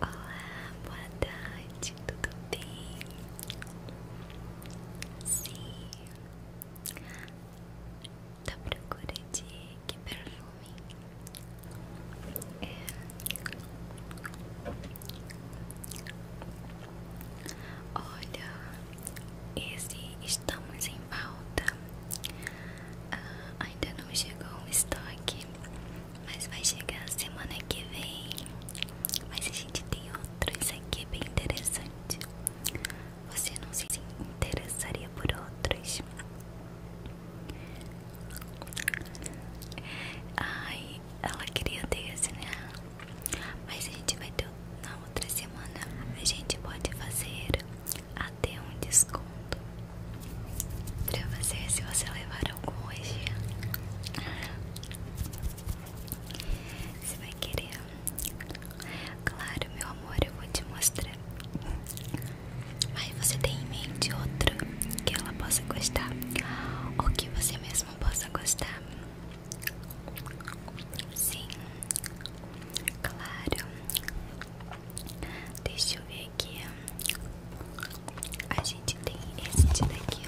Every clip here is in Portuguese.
Olá, boa tarde, tudo bem? Sim, tá procurando que perfume? É. Olha, esse estamos em falta, ah, ainda não chegou o estoque. Mas vai chegar semana que vem. Mas a gente tem outros aqui é bem interessantes. Você não se interessaria por outros? Ai, ela queria ter esse, né? Mas a gente vai ter na outra semana. A gente pode fazer até um desconto pra você se você levar algum hoje. Você vai querer. Claro, meu amor, eu vou te mostrar. Mas você tem em mente outro que ela possa gostar. Ou que você mesmo possa gostar. Sim, claro. Deixa eu ver aqui. A gente tem esse daqui,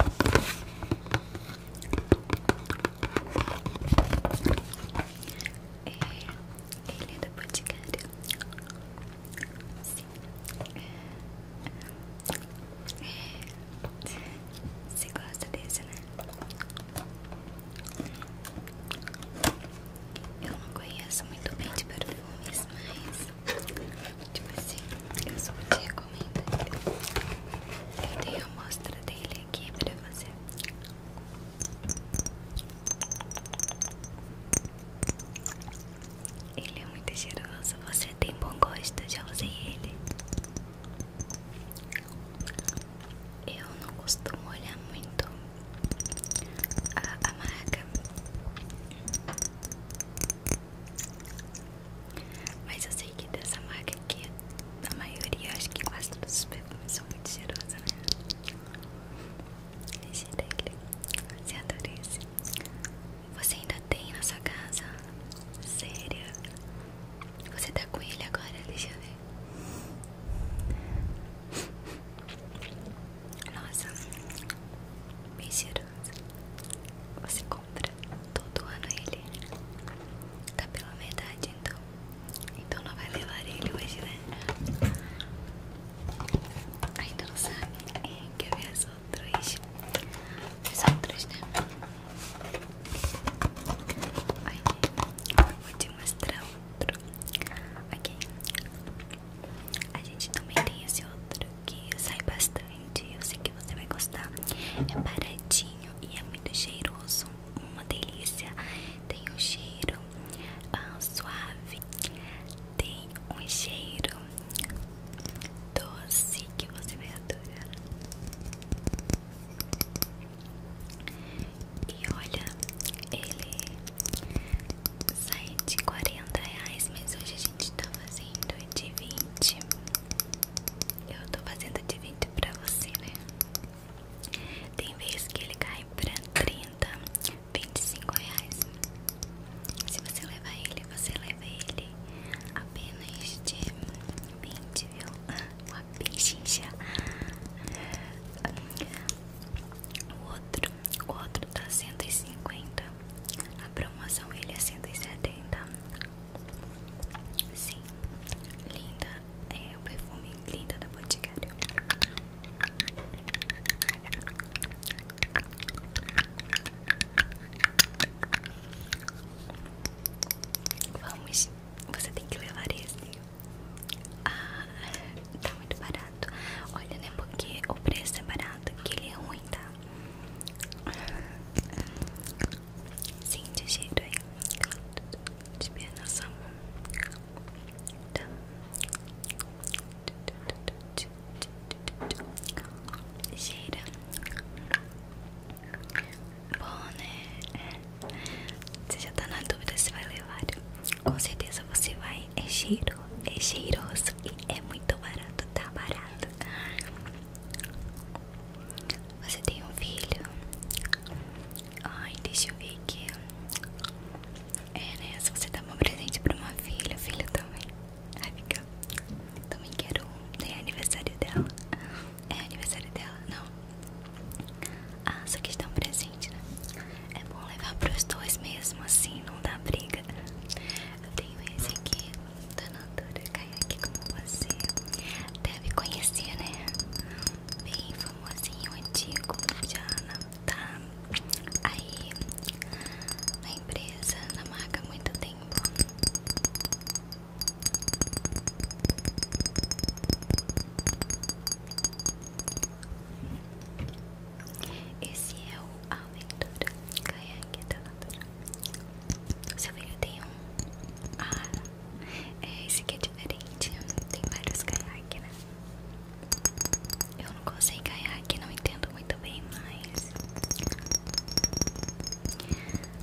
é, ele é da Boticário. Sim. É. você gosta desse, né? Eu não conheço muito bem de perfumes, mas Tipo assim, eu só te recomendo Eu tenho a amostra dele aqui pra você Ele é muito cheiroso, você tem bom gosto, já usei ele Eu não costumo olhar muito a, a mas eu sei que dessa marca aqui, a maioria, acho que quase todos os perfumes são muito cheirosos, né? Esse daqui, você adorei esse. Você ainda tem na sua casa? Sério? Você tá com ele agora? Deixa eu ver. Nossa, bem cheiroso. Você compra todo ano ele. Tá pela metade, então. Então não vai levar ele hoje, né? Ainda então não sabe. É, quer ver as outras? As outras, né? Aí, vou te mostrar outro. Aqui. Okay. A gente também tem esse outro que sai bastante. Eu sei que você vai gostar. É baratinho e é muito cheiroso. Uma delícia. Tem um cheiro ah, suave. Tem um cheiro doce que você vai adorar. E olha, ele Sai de 40 reais, mas hoje a gente tá fazendo de 20. Eu tô fazendo de 20 pra você, né? Tem vezes que ele cai pra 30, 25 reais. Se você levar ele, você leva ele apenas de 20, viu? Uma pechincha. O outro o outro tá 150 a promoção ele é 170 sim linda é o perfume linda da Boticário vamos você tem que levar esse ah tá muito barato. Olha, né? Porque o preço é barato, que ele é ruim, tá? Sim, de jeito aí. De pernação. Tá. Gira. Bom, né? Você já tá na dúvida se vai levar com certeza você vai, é cheiro, é cheiroso e é muito barato, tá barato. Você tem um filho? Ai, deixa eu ver aqui. É, né? Se você dá um presente pra uma filha, filha também. Ai, fica. Também quero É aniversário dela. É aniversário dela? Não. Ah, só que estão um né? É bom levar pros dois mesmo, assim, não dá briga. Eu tenho esse aqui da Natura Kayak como você deve conhecer, né? Bem famosinho, antigo, já não tá aí na empresa, na marca há muito tempo. Esse é o Aventura Caiaque da Natura. Se eu tem um. Ah, é, esse aqui é diferente. Tem vários caiaques, né? Eu não gostei caiaque, não entendo muito bem, mas.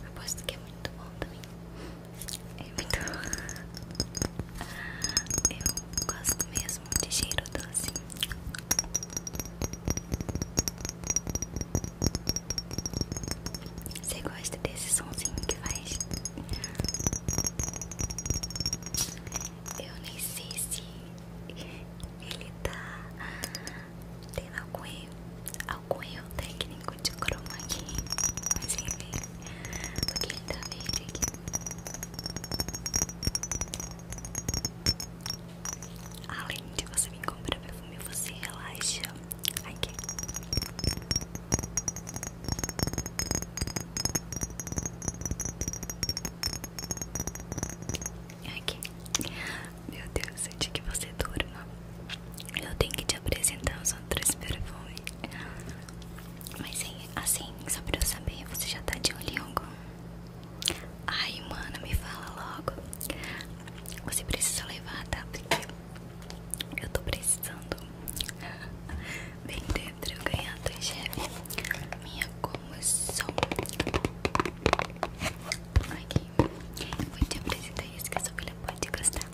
Aposto que é muito bom também. É muito. Eu gosto mesmo mesmo de cheiro doce. Você gosta desse somzinho que faz? Eu nem sei se ele tá tendo algum erro, algum erro técnico de croma aqui, mas enfim, porque ele tá verde aqui. Além de você me comprar perfume, você relaxa aqui. Meu Deus, antes que você durma, eu tenho que te apresentar os outros perfumes. Mas é assim, só pra eu saber, você já tá de olho em Ai, mano, me fala logo. Você precisa levar, tá? Porque eu tô precisando vender pra eu ganhar do chefe. Minha comissão. Aqui. Vou te apresentar esse que a sua filha pode gostar.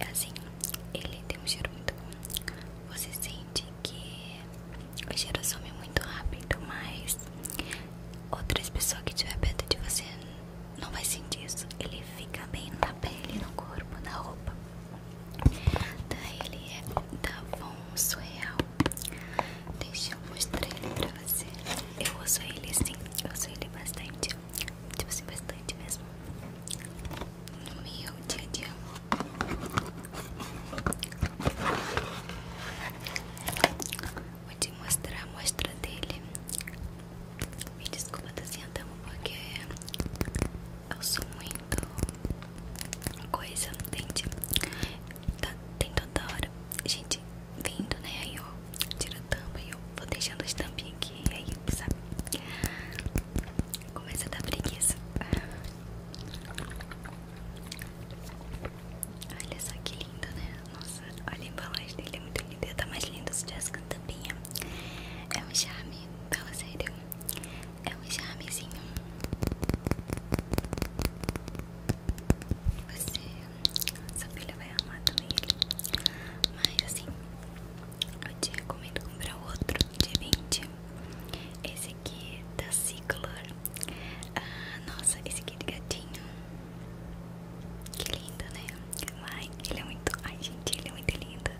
É assim, ele tem um cheiro muito bom. Você sente que o cheiro some muito rápido, mas outras pessoas que estiver perto de você não vai sentir isso. Ele fica bem na pele, no corpo, na roupa. Daí ele é da Von Surreal. Deixa eu mostrar ele pra você. Eu uso ele sim, eu uso ele bastante. Tipo assim, bastante mesmo no meu dia a dia. Vou te mostrar a mostra dele. Me desculpa, tô tá sentando porque eu sou muito coisa, entende? Tá, tem toda hora gente vindo, né? Aí eu tiro a tampa e eu vou deixando as tampinhas aqui, aí, sabe? Começa a dar preguiça. Olha só que lindo, né? Nossa, olha a embalagem dele, é muito linda. Tá mais lindo se tivesse com É um charme, fala sério. É um charmezinho. Você, sua filha vai amar também ele. Mas assim, eu te recomendo comprar outro de 20 esse aqui da tá assim, Ciclor. Ah, nossa, esse aqui é de gatinho. Que lindo, né? Ai, ele é muito. Ai, gente, ele é muito lindo.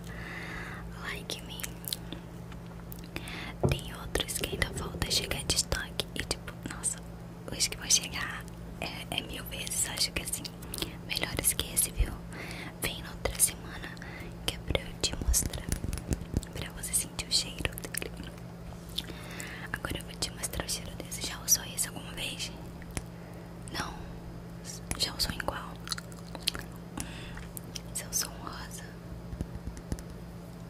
Like me. Tem outros que ainda falta chegar de estoque. E tipo, nossa, os que vão chegar é, é mil vezes, acho que assim. melhor esquece viu? Vem na outra semana que é pra eu te mostrar, pra você sentir o cheiro dele. Agora eu vou te mostrar o cheiro desse. Já o usou esse como vez? Não? Já o som igual seu som rosa.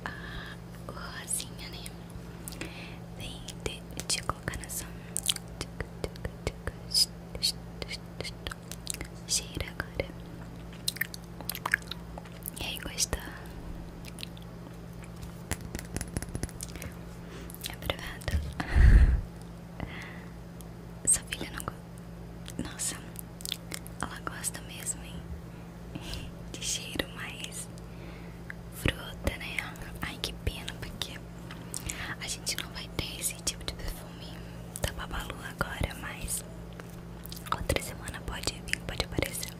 Ah, rosinha, né? Vem de te colocar nessa cheiro agora. E aí, gostou? Aprovado. Sua filha não gosta. Nossa, ela gosta mesmo, hein? De cheiro mais fruta, né? Ai, que pena, porque a gente não vai ter esse tipo de perfume da Babalu agora, mas Outra semana pode vir, pode aparecer.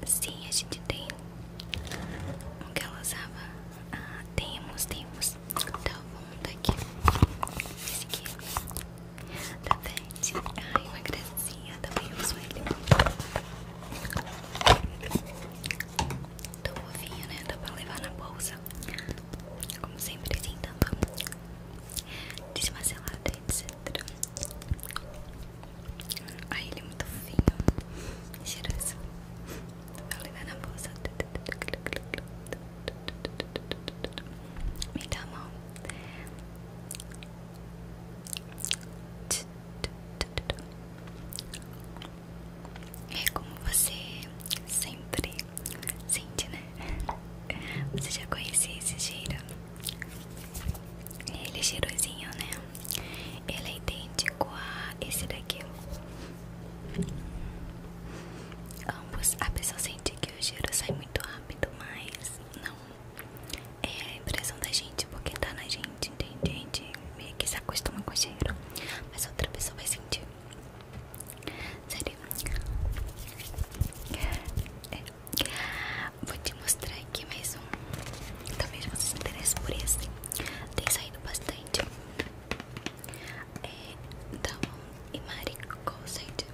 E sim, a gente tem o que ela usava. Ah, temos, temos. Então tá vamos tá daqui. Esse aqui. Tá vendo? Ai, uma gracinha. Também uso ele. Tô fofinho, né? Dá pra levar na bolsa. Como sempre, tem assim, tampa então, desmacelada, etc. Ai, ah, ele é muito fofinho. Cheiroso. Dá pra levar na bolsa. Me dá a mão. É como você sempre sente, né? Você já conhecia esse cheiro? Ele é cheirosinho, né? Ele é idêntico a esse daqui. Ambos, a pessoa sente que o cheiro sai muito rápido, mas não é a impressão da gente, porque tá na gente, entende? gente meio que se acostuma com o cheiro, mas outra pessoa vai sentir. Sério? É. Vou te mostrar aqui mais um. Talvez você se interesse por esse. Tem saído bastante. É Damon e Mari Cosette.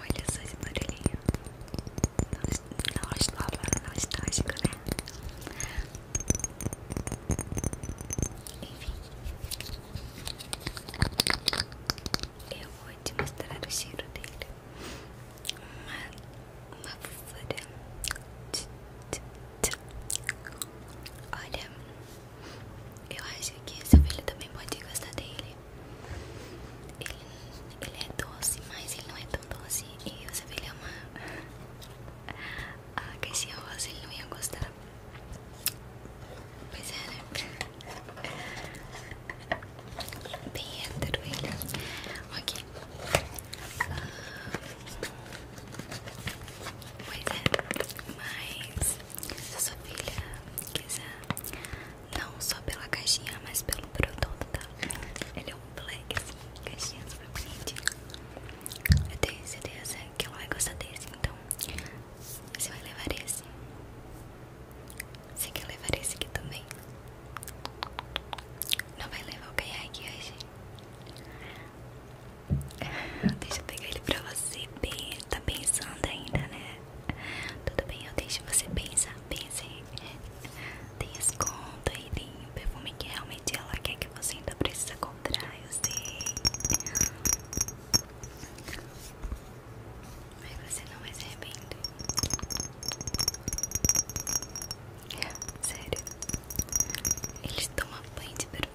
Olha só esse barulhinho. Não, não, não está chico, né? Enfim, eu vou te mostrar o cheiro dele. Uma, uma fofura de, de, Olha, eu acho que seu filho também pode gostar dele. Ele, é doce, mas ele não é tão doce. E o seu filho é uma. A caixinha rosa, ele não ia gostar. Pois é, né? Bem hétero ele. Ok. Ah, Pois é, mas se a sua filha quiser, não só pela caixinha, mas pelo produto, tá? Ele é um black, assim, caixinha super bonitinha. Eu tenho certeza que ela vai gostar desse, então você vai levar esse. Você quer levar esse aqui também? Não vai levar o caiaque hoje? Deixa eu pegar ele pra você Tá pensando ainda, né? Tudo bem, eu deixo você pensar. Pense. Tem esconda aí tem o perfume que realmente ela quer que você ainda precisa comprar. Eu sei. Mas você não vai se arrepender. Sério, eles tomam banho de perfume.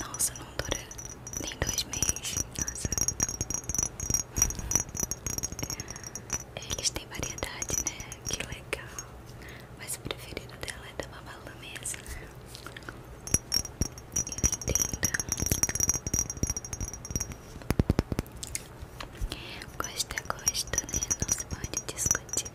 Nossa, não dura nem dois meses. Eles têm variedade, né? Que legal. Mas o preferido dela é da Babalu mesmo. Eu entendo. Gosta, gosta, né? Não se pode discutir.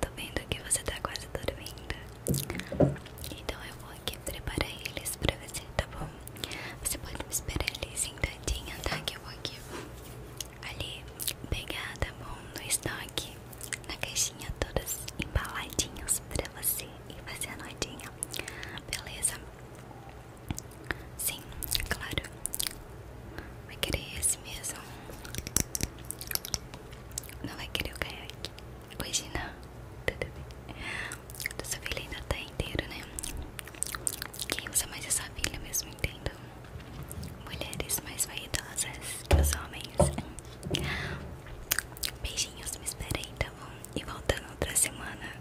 Tô vendo que você tá quase dormindo. Então eu vou aqui preparar eles pra você, tá bom? Você pode me esperar ali sentadinha, tá? Que eu vou aqui ali pegar, tá bom? No estoque, na caixinha, todas embaladinhas pra você e fazer a noitinha, beleza? Sim, claro. Vai querer esse esse mesmo. Não vai querer o caiaque. Hoje não. Tudo bem. Essa filha ainda tá inteira, né? Quem usa mais essa filha mesmo, entendo. Mulheres mais vaidosas que os homens. Beijinhos, me esperem, tá bom? E voltando outra semana.